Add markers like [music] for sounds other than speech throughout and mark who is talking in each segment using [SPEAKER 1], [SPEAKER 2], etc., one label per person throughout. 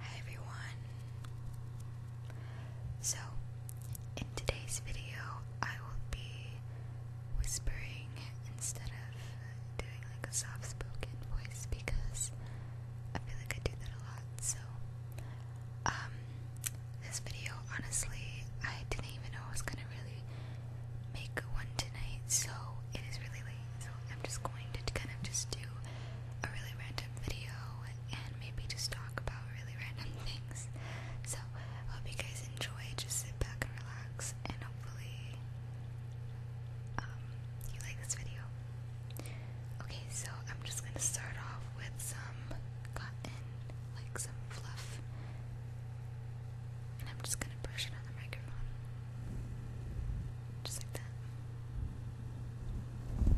[SPEAKER 1] Hi everyone. So, in today's video, I will be whispering instead of doing like a soft spoken voice because I feel like I do that a lot. So, um, this video honestly, I didn't even know I was gonna really make one tonight, so it is really late. So I'm just going to kind of just do a really random video and maybe just talk about really random [laughs] things. So hope you guys enjoy. Just sit back and relax, and hopefully, um, you like this video. Okay, so I'm just gonna start off with some like some fluff. And I'm just gonna brush it on the microphone. Just like that. I'm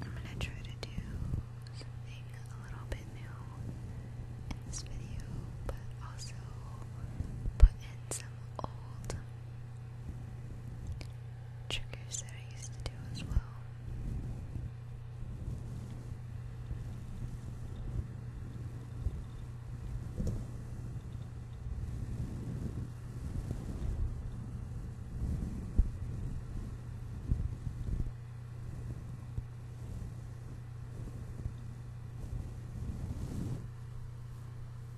[SPEAKER 1] going to try to do something a little bit new in this video, but also put in some old triggers that I used to do as well.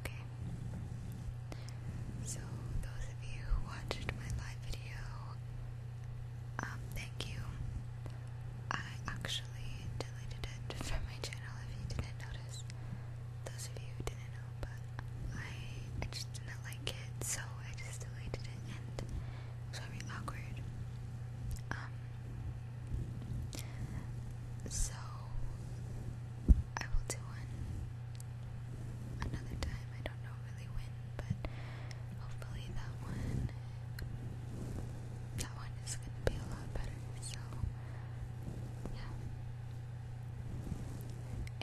[SPEAKER 1] Okay. So those of you who watched my live video, um, thank you. I actually deleted it from my channel if you didn't notice. Those of you didn't know, but I I just didn't like so I just deleted it and it very awkward. Um, so I will do one another time. I don't know really when, but hopefully that one that one is gonna be a lot better. So yeah.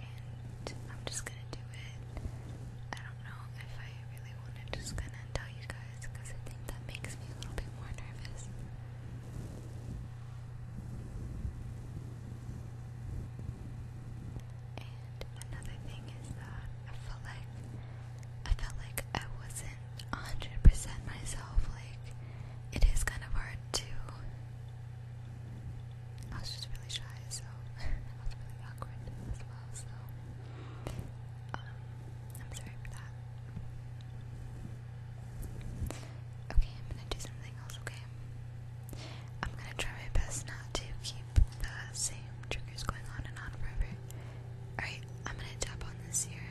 [SPEAKER 1] And I'm just gonna do it I don't know if I really want to just kind of tell you guys because I think that makes me a little bit more nervous. And another thing is that I felt like I felt like I wasn't 100% myself. Like it is kind of hard to I was just really shy, so [laughs] I was really awkward as well, so um, I'm sorry for that. Okay, I'm gonna do something else, okay? I'm gonna try my best not to keep the same triggers going on and on forever. Alright, I'm gonna tap on this here.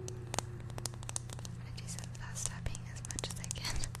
[SPEAKER 1] I'm gonna do some fast tapping as much as I can. [laughs]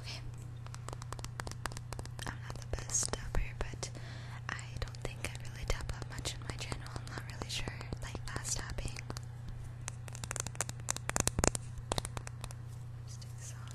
[SPEAKER 1] Okay. I'm not the best tapper, but I don't think I really tap up much in my channel. I'm not really sure. Like fast tapping. let this off.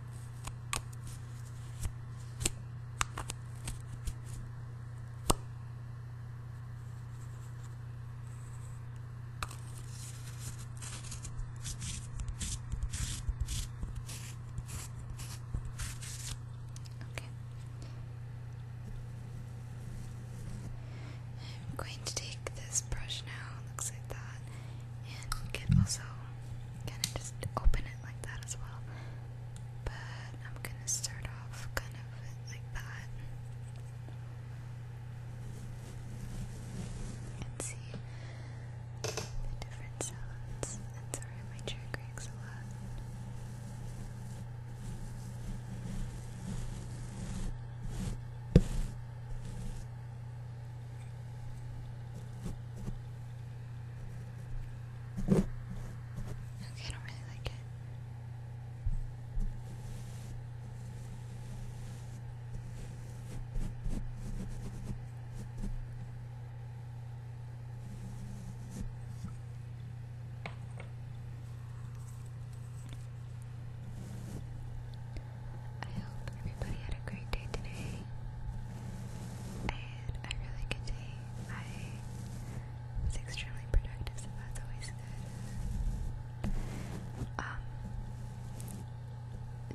[SPEAKER 1] Okay. I'm going to take this brush now, looks like that and can also kind of just open it like that as well. But I'm gonna start off kind of like that and see the different sounds. And sorry, my chair creaks a lot. Okay. Okay, I don't really like it. I hope everybody had a great day today and a really good day. I was extremely productive, so that's always good. Um,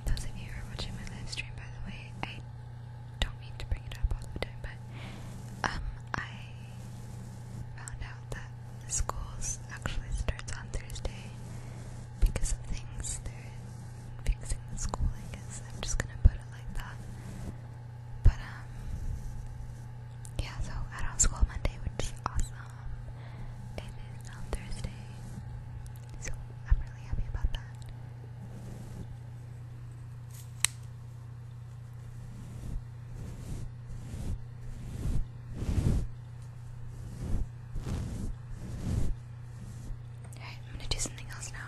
[SPEAKER 1] those of you who are watching my live stream, by the way, I don't mean to bring it up all the time, but um, I found out that schools actually starts on Thursday because of things they're school, I guess. I'm just gonna put it like that. But, um, yeah, so I do school Monday, which is awesome. It is on Thursday, so I'm really happy about that. Alright, I'm gonna do something else now.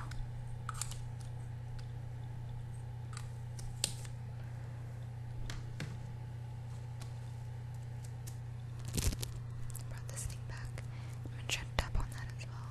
[SPEAKER 1] brought this thing back. I'm gonna try to on that as well.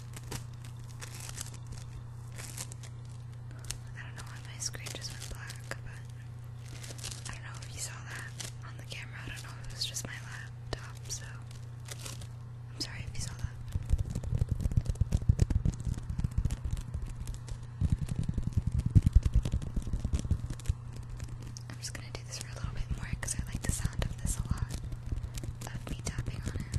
[SPEAKER 1] I don't know why my screen just went black, but I don't know if you saw that on the camera. I don't know if it was just my laptop, so I'm sorry if you saw that. I'm just gonna do this for a little bit more because I like the sound of this a lot. Of me tapping on it.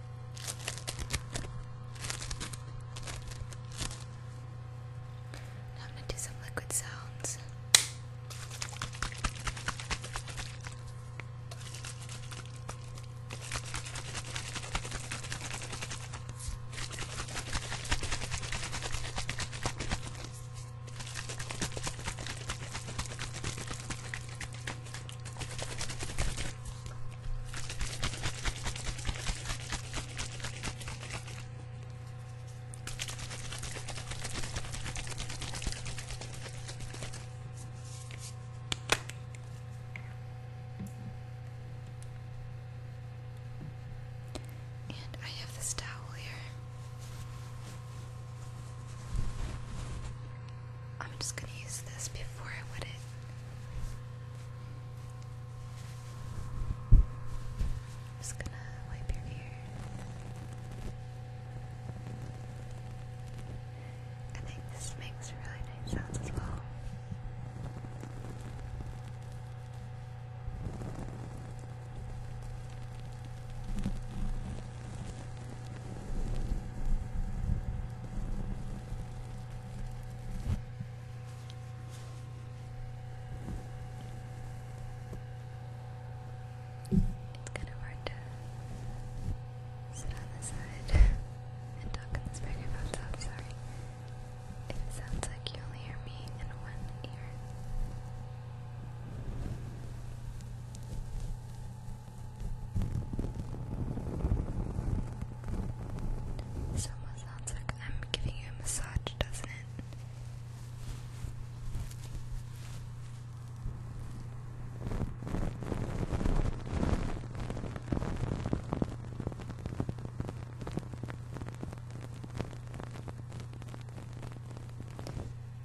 [SPEAKER 1] now I'm going to do some liquid sounds. And I have this towel here. I'm just gonna use this before I wet it. I'm just gonna wipe your ear. I think this makes really nice sounds as well. It's kind of hard to sit on the side and talk in this microphone, so i It sounds like you only hear me in one ear. It almost sounds like I'm giving you a massage, doesn't it?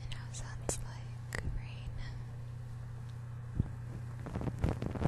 [SPEAKER 1] You know, sounds like rain pulling on the umbrella.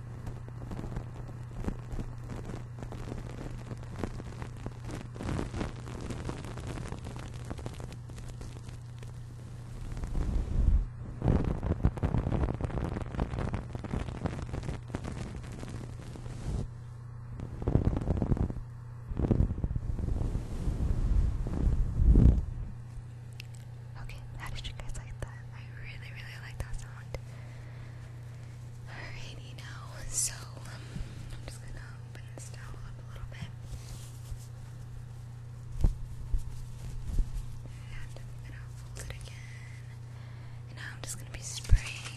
[SPEAKER 1] Okay, how did you guys like that? I really, really like that sound. Alrighty now, so um, I'm just gonna open this towel up a little bit. And I'm gonna fold it again. now I'm just gonna be spraying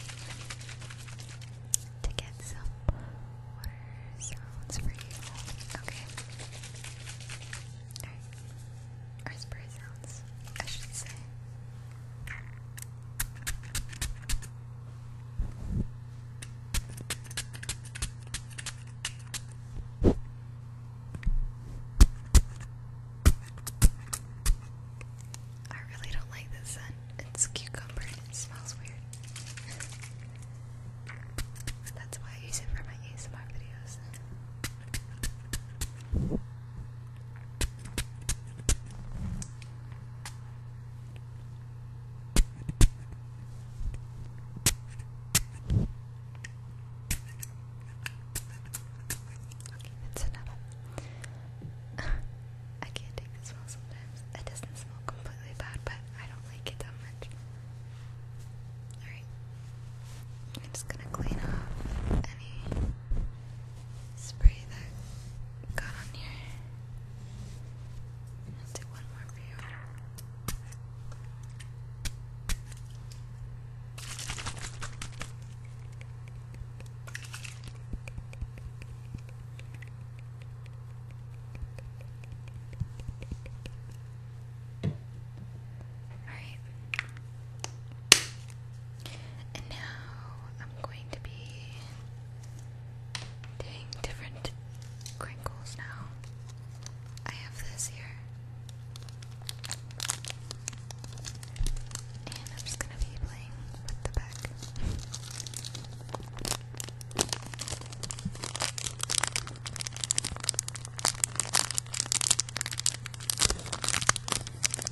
[SPEAKER 1] to get some water sounds for you. Okay. Or spray sounds, I should say. I really don't like this scent. It's cucumber it smells weird. That's why I use it for my ASMR videos. It's another. [laughs] I can't take this smell sometimes. It doesn't smell completely bad, but I don't like it that much. Alright. I'm just gonna clean up any spray that got on your I'll do one more for you. All right. And now I'm going to be doing different crinkles now. I have this here. And I'm just gonna be playing with the back.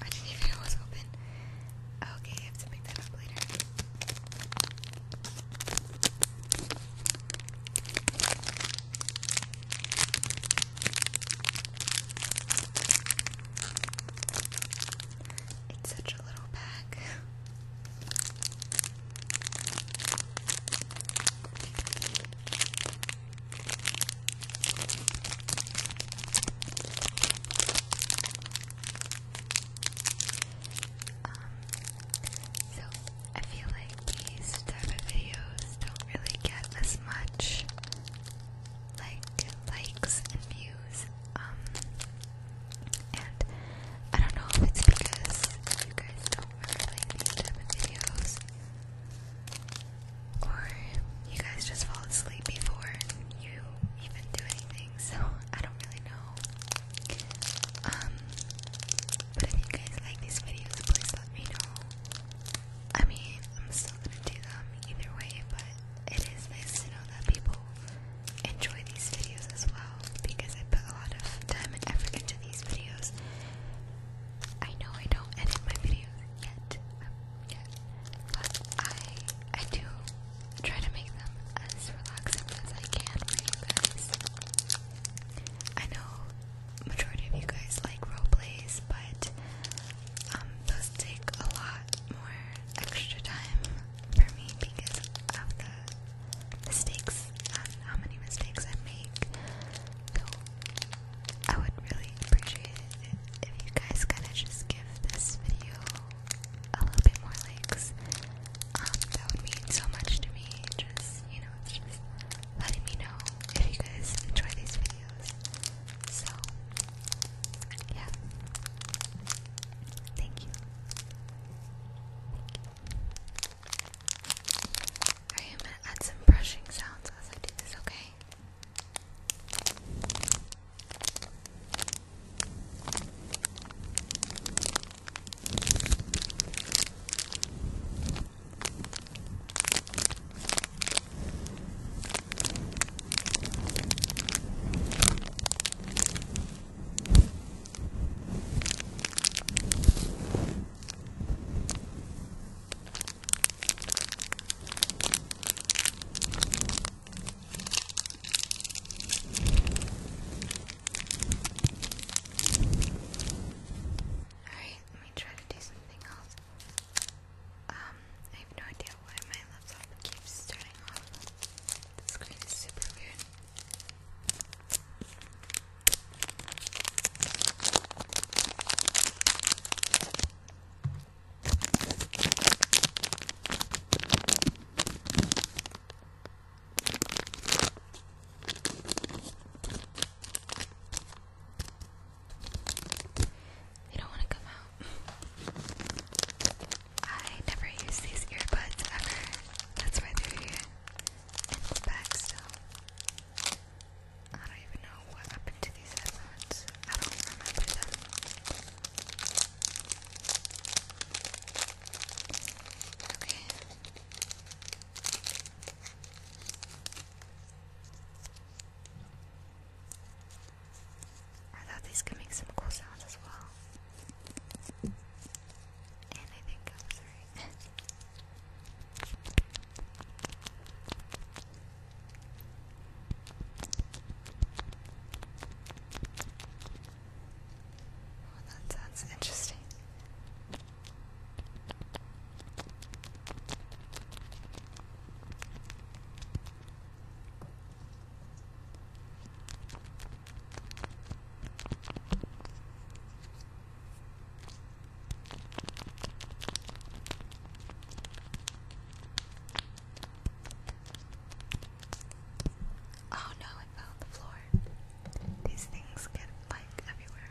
[SPEAKER 1] I didn't even know it was open. Okay, I have to pick that up later. It's such a little bag. Um, I feel like these type of videos don't really get as much like likes and views. Um, and I don't know if it's because you guys don't really like these videos, or you guys just fall asleep before you even do anything. So I don't really know. Um, but if you guys like these videos, please let me know. I mean, I'm still gonna do them either way, but it is nice to know that people enjoy these videos as well because I put a lot of time and effort into these videos. I know I don't edit my videos yet, um, I I do try to make them as relaxing as I can for you guys. I know majority of you guys like role plays, but um, those take a lot more extra time for me because of the mistakes how many mistakes I make. So I would really appreciate it if you guys kind of just give this video a little bit more likes. Um, that would mean so much to me. Just you know, just letting me know if you guys enjoy these videos. So, yeah. Thank you. Thank you. I'm gonna add some brushing sounds as I do this, Okay. Alright, let me try to do something else. Um I have no idea why my laptop keeps turning off. The screen is super weird. They don't want to come out. I never use these earbuds ever. That's why they're here. the back still. I don't even know what happened to these headphones. I don't remember them. Okay. I thought these could make some cool sounds as well. And I think I right. [laughs] Oh, that sounds interesting. Oh no, it fell on the floor. These things get like everywhere.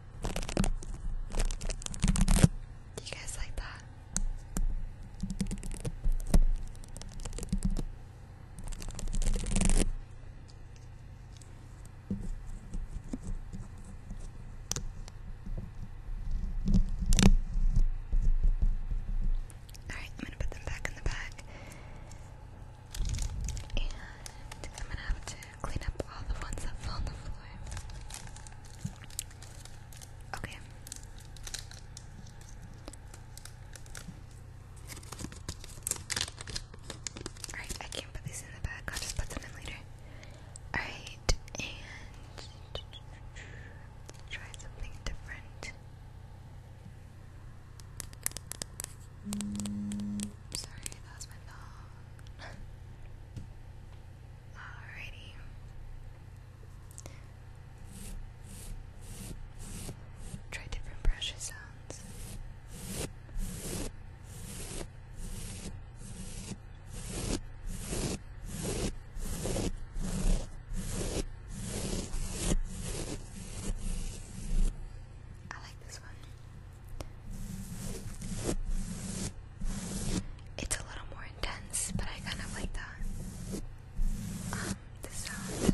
[SPEAKER 1] Do you guys like that? Alright, I'm gonna put them back in the bag. And I'm gonna have to clean up all the ones that fell on the floor. Okay. Alright, I can't put these in the bag. I'll just put them in later. Alright, and try something different. sorry, that my phone. [laughs] Alrighty. Try different brush sounds. I like this one. It's a little more intense, but I kind of like that. Um, the sound.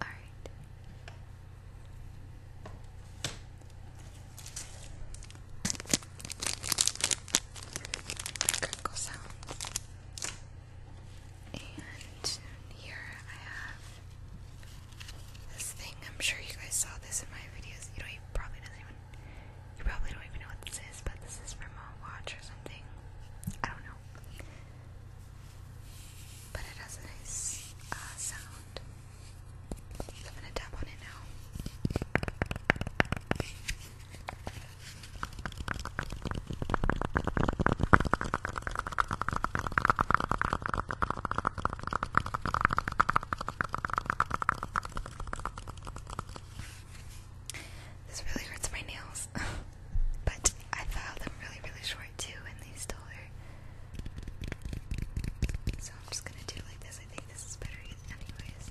[SPEAKER 1] All right. Crinkle sounds. And here I have this thing. I'm sure you guys saw this in my videos. You know, you probably doesn't even you probably don't even know what this is, but this is from a watch or something. I don't know. But it has a nice uh, sound. I'm gonna tap on it now. This really hurts my nails, [laughs] but I filed them really, really short too, and they still hurt. So I'm just gonna do it like this. I think this is better, anyways.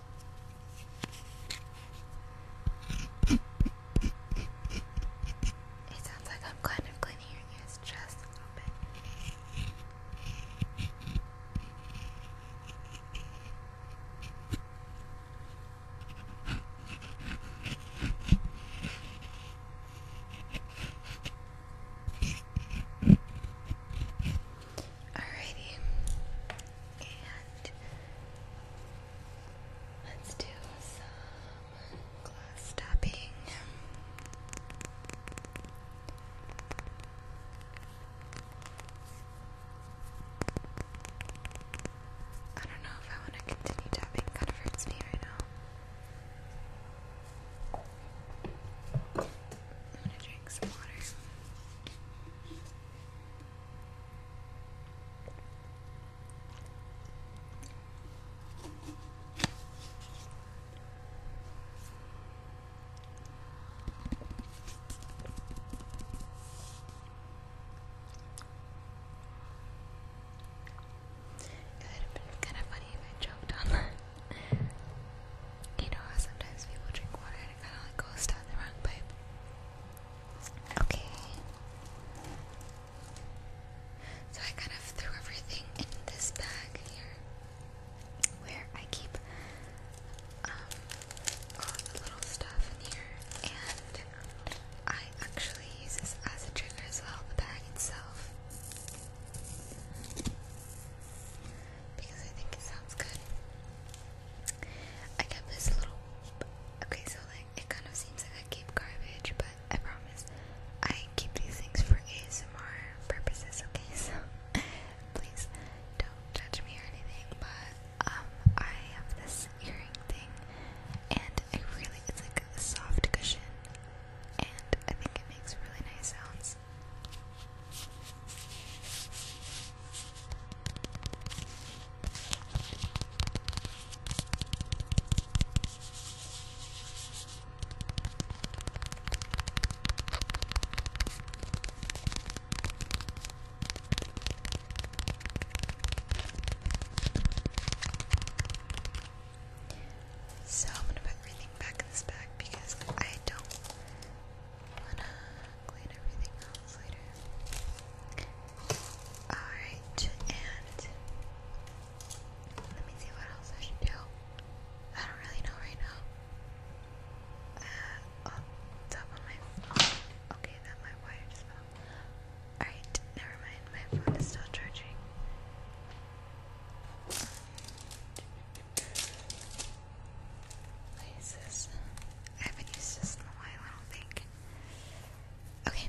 [SPEAKER 1] It sounds like I'm kind of cleaning your ears a little bit. Alrighty. And let's do some glass tapping. I don't know if I want to continue tapping, kind of hurts me right now. I'm gonna drink some water. It would have been kind of funny if I choked on [laughs] you know how sometimes people drink water Okay. So I kind of threw everything in this bag here, where I keep um, all the little stuff in here, and I actually use this as a trigger as well, the bag itself because I think it sounds good. I kept this little. Okay, so like it kind of seems like I keep garbage, but I promise I keep these things for ASMR purposes. Okay, [laughs] so please don't judge me or anything. But um, I have this earring thing, and it really it's like a soft cushion, and I think it makes really nice sounds. So I'm gonna put everything back in this bag because I don't wanna clean everything else later. Alright, and let me see what else I should do. I don't really know right now. Uh, oh, top of my phone. okay, that my wires fell. Alright, never mind. My phone is still charging. What is this? I haven't used this in a while, I don't think. Okay.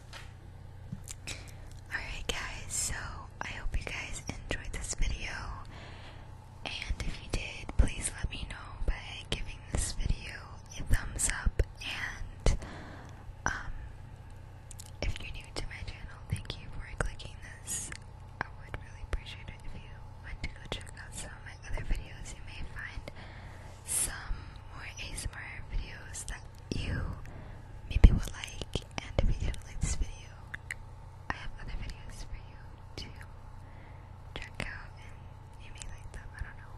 [SPEAKER 1] Alright, guys, so I hope you guys enjoyed this video. And if you did, please let me know by giving this video a thumbs up. And um, if you're new to my channel, thank you for clicking this. I would really appreciate it if you went to go check out some of my other videos. You may find some more ASMR videos that you maybe will like, and if you don't like this video, I have other videos for you to check out, and you may like them, I don't know.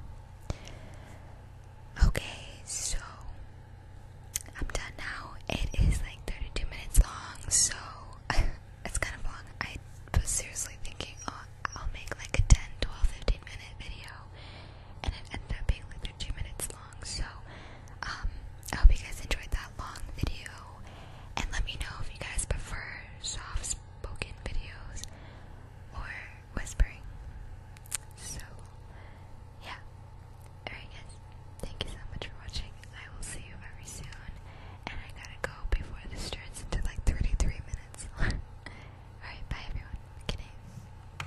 [SPEAKER 1] Okay, so I'm done now. It is like 32 minutes long, so [laughs] it's kind of long. I was seriously thinking, oh, I'll make like a 10, minute video and it ended up being like two minutes long. So, um, I hope you guys enjoyed that long video, and let me know if you guys prefer soft spoken videos or whispering. So, yeah. Alright, thank you so much for watching. I will see you very soon, and I gotta go before this turns into like 33 minutes. [laughs] Alright, bye everyone. Good